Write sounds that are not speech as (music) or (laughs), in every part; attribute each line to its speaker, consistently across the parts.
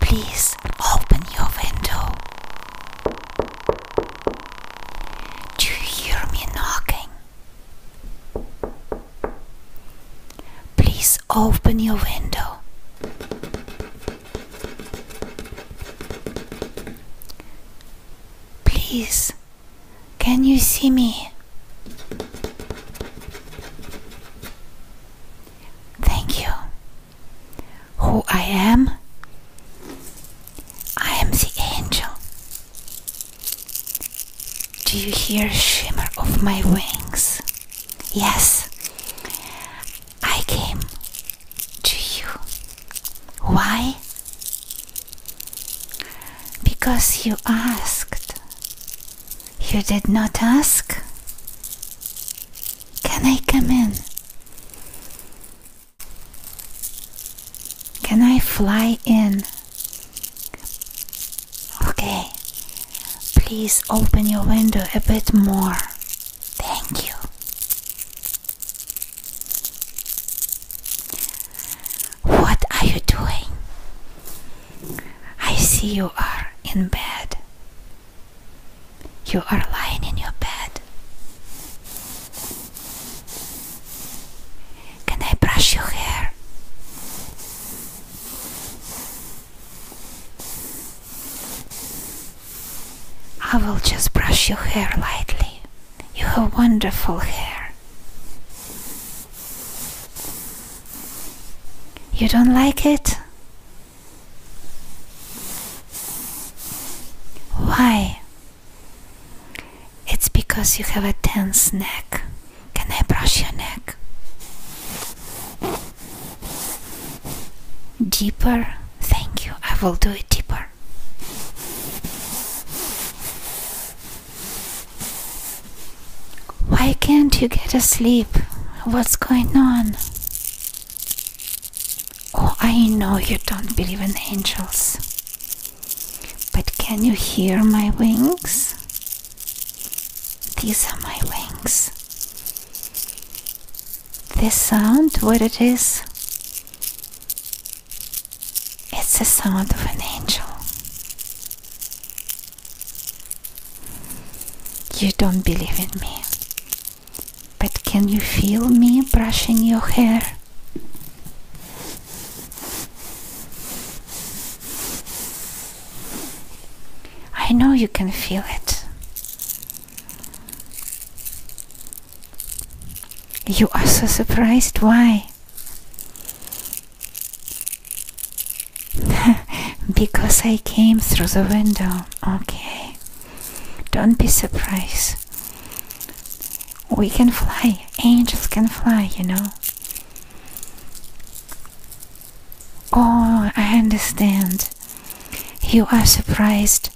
Speaker 1: Please open your window. Do you hear me knocking? Please open your window. Please can you see me? Thank you. Who I am? I am the angel. Do you hear a shimmer of my wings? Yes. I came to you. Why? Because you asked. You did not ask? Can I come in? Can I fly in? Okay. Please open your window a bit more. Thank you. What are you doing? I see you are in bed. You are lying in your bed. Can I brush your hair? I will just brush your hair lightly. You have wonderful hair. You don't like it? Why? It's because you have a tense neck. Can I brush your neck? Deeper? Thank you, I will do it deeper. Why can't you get asleep? What's going on? Oh, I know you don't believe in angels. But can you hear my wings? These are my wings. This sound, what it is? It's the sound of an angel. You don't believe in me. But can you feel me brushing your hair? I know you can feel it. You are so surprised. Why? (laughs) because I came through the window. Okay. Don't be surprised. We can fly. Angels can fly, you know. Oh, I understand. You are surprised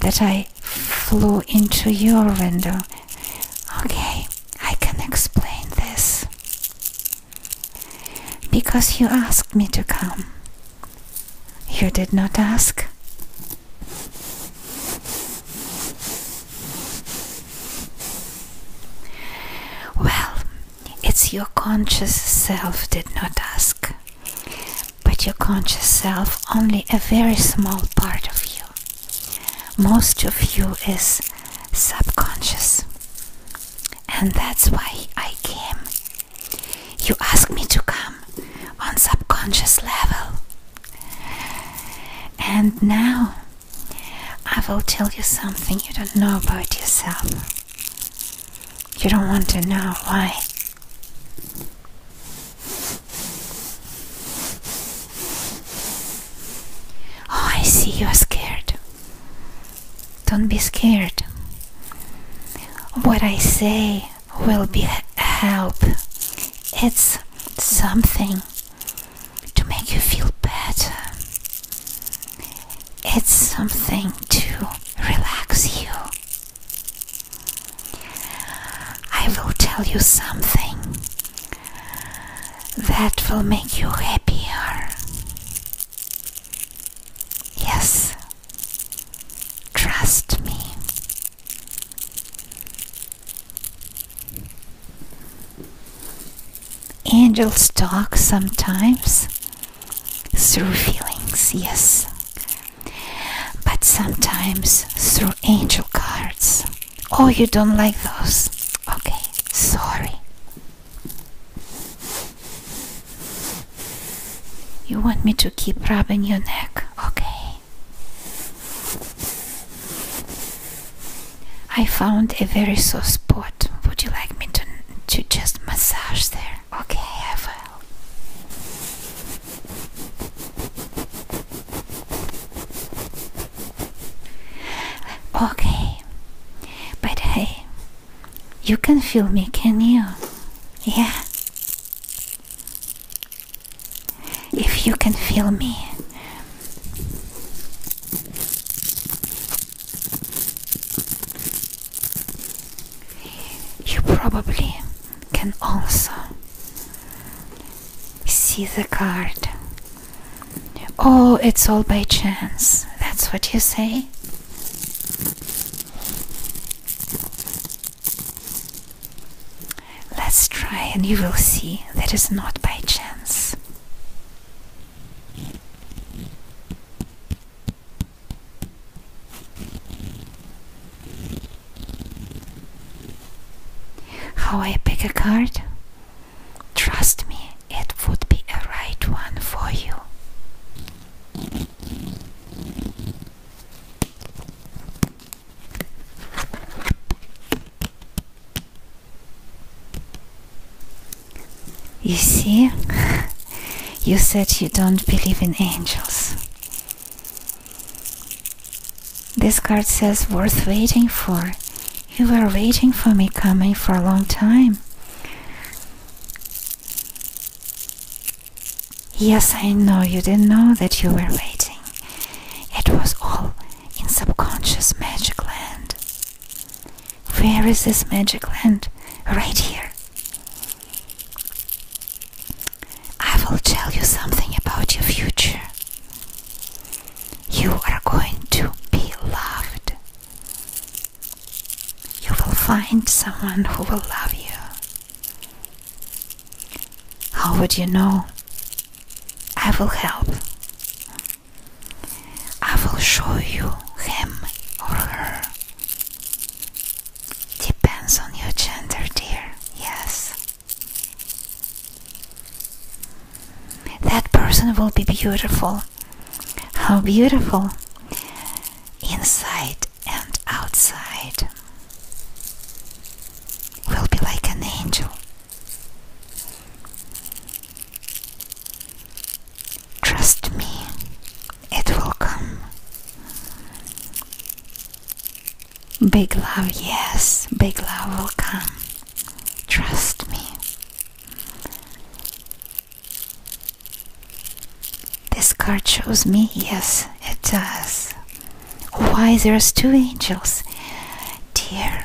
Speaker 1: that I flew into your window. Okay, I can explain this. Because you asked me to come. You did not ask. Well, it's your conscious self did not ask, but your conscious self only a very small part of you most of you is subconscious and that's why i came you asked me to come on subconscious level and now i will tell you something you don't know about yourself you don't want to know why Oh, I see you are scared. Don't be scared. What I say will be help. It's something to make you feel better. It's something to relax you. I will tell you something that will make you happier. Yes, trust me. Angels talk sometimes through feelings, yes, but sometimes through angel cards. Oh, you don't like those? Okay sorry. You want me to keep rubbing your neck, okay? I found a very sore spot. Would you like me to, to just massage there? Okay, I will. Okay, but hey, you can feel me, can you? Yeah. If you can feel me. You probably can also see the card Oh, it's all by chance. That's what you say? Let's try, and you will see that is not by chance. How I pick a card? Trust me, it would be a right one for you. You see, (laughs) you said you don't believe in angels. This card says worth waiting for. You were waiting for me coming for a long time. Yes, I know you didn't know that you were waiting. It was all in subconscious magic land. Where is this magic land? Right here. I will tell you something about your future. You are going to be loved. You will find someone who will love you. How would you know? I will help. I will show you him or her. Depends on your gender, dear. Yes. That person will be beautiful. How beautiful! Inside and outside. Will be like an angel. Trust me, it will come. Big love, yes, big love will come. Trust me. This card shows me, yes, it does. Why there's two angels? Dear,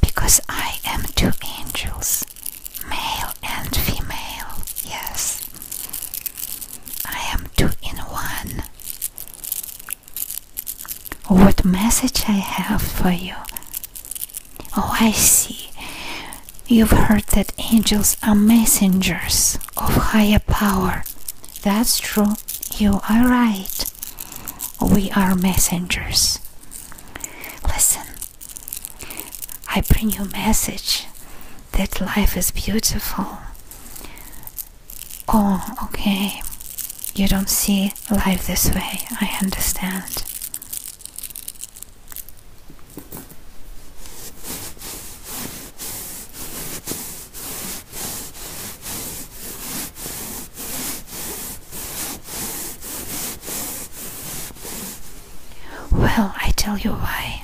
Speaker 1: because I am two angels, male and female, yes. I am two in one. What message I have for you Oh, I see. You've heard that angels are messengers of higher power. That's true. You are right. We are messengers. Listen, I bring you message that life is beautiful. Oh, okay. You don't see life this way, I understand. Well, I tell you why.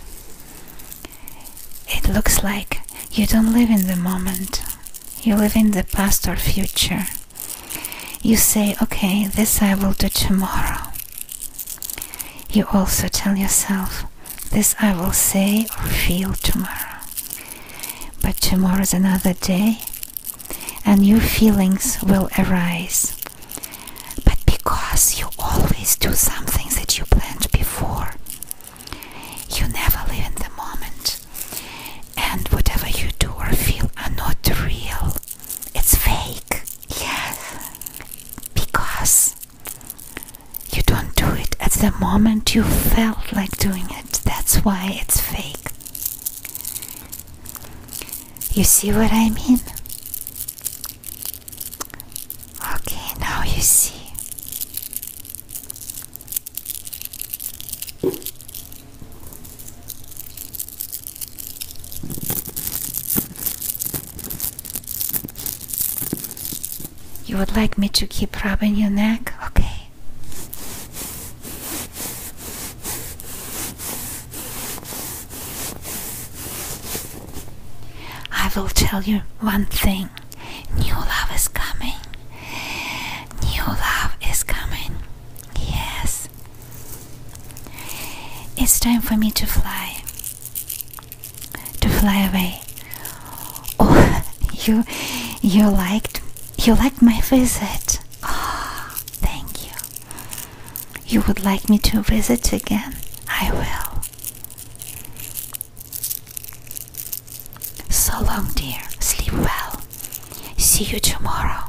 Speaker 1: It looks like you don't live in the moment, you live in the past or future. You say, okay, this I will do tomorrow. You also tell yourself, this I will say or feel tomorrow. But tomorrow is another day, and new feelings will arise. But because you always do something that you planned before, you never live in the moment and whatever you do or feel are not real. It's fake. Yes. Because you don't do it at the moment you felt like doing it. That's why it's fake. You see what I mean? Okay, now you see. You would like me to keep rubbing your neck? Okay. I will tell you one thing new love is coming. New love is coming. Yes. It's time for me to fly. To fly away. Oh, (laughs) you you liked you liked my visit. Oh, (gasps) thank you. You would like me to visit again? I will. So long, dear. Sleep well. See you tomorrow.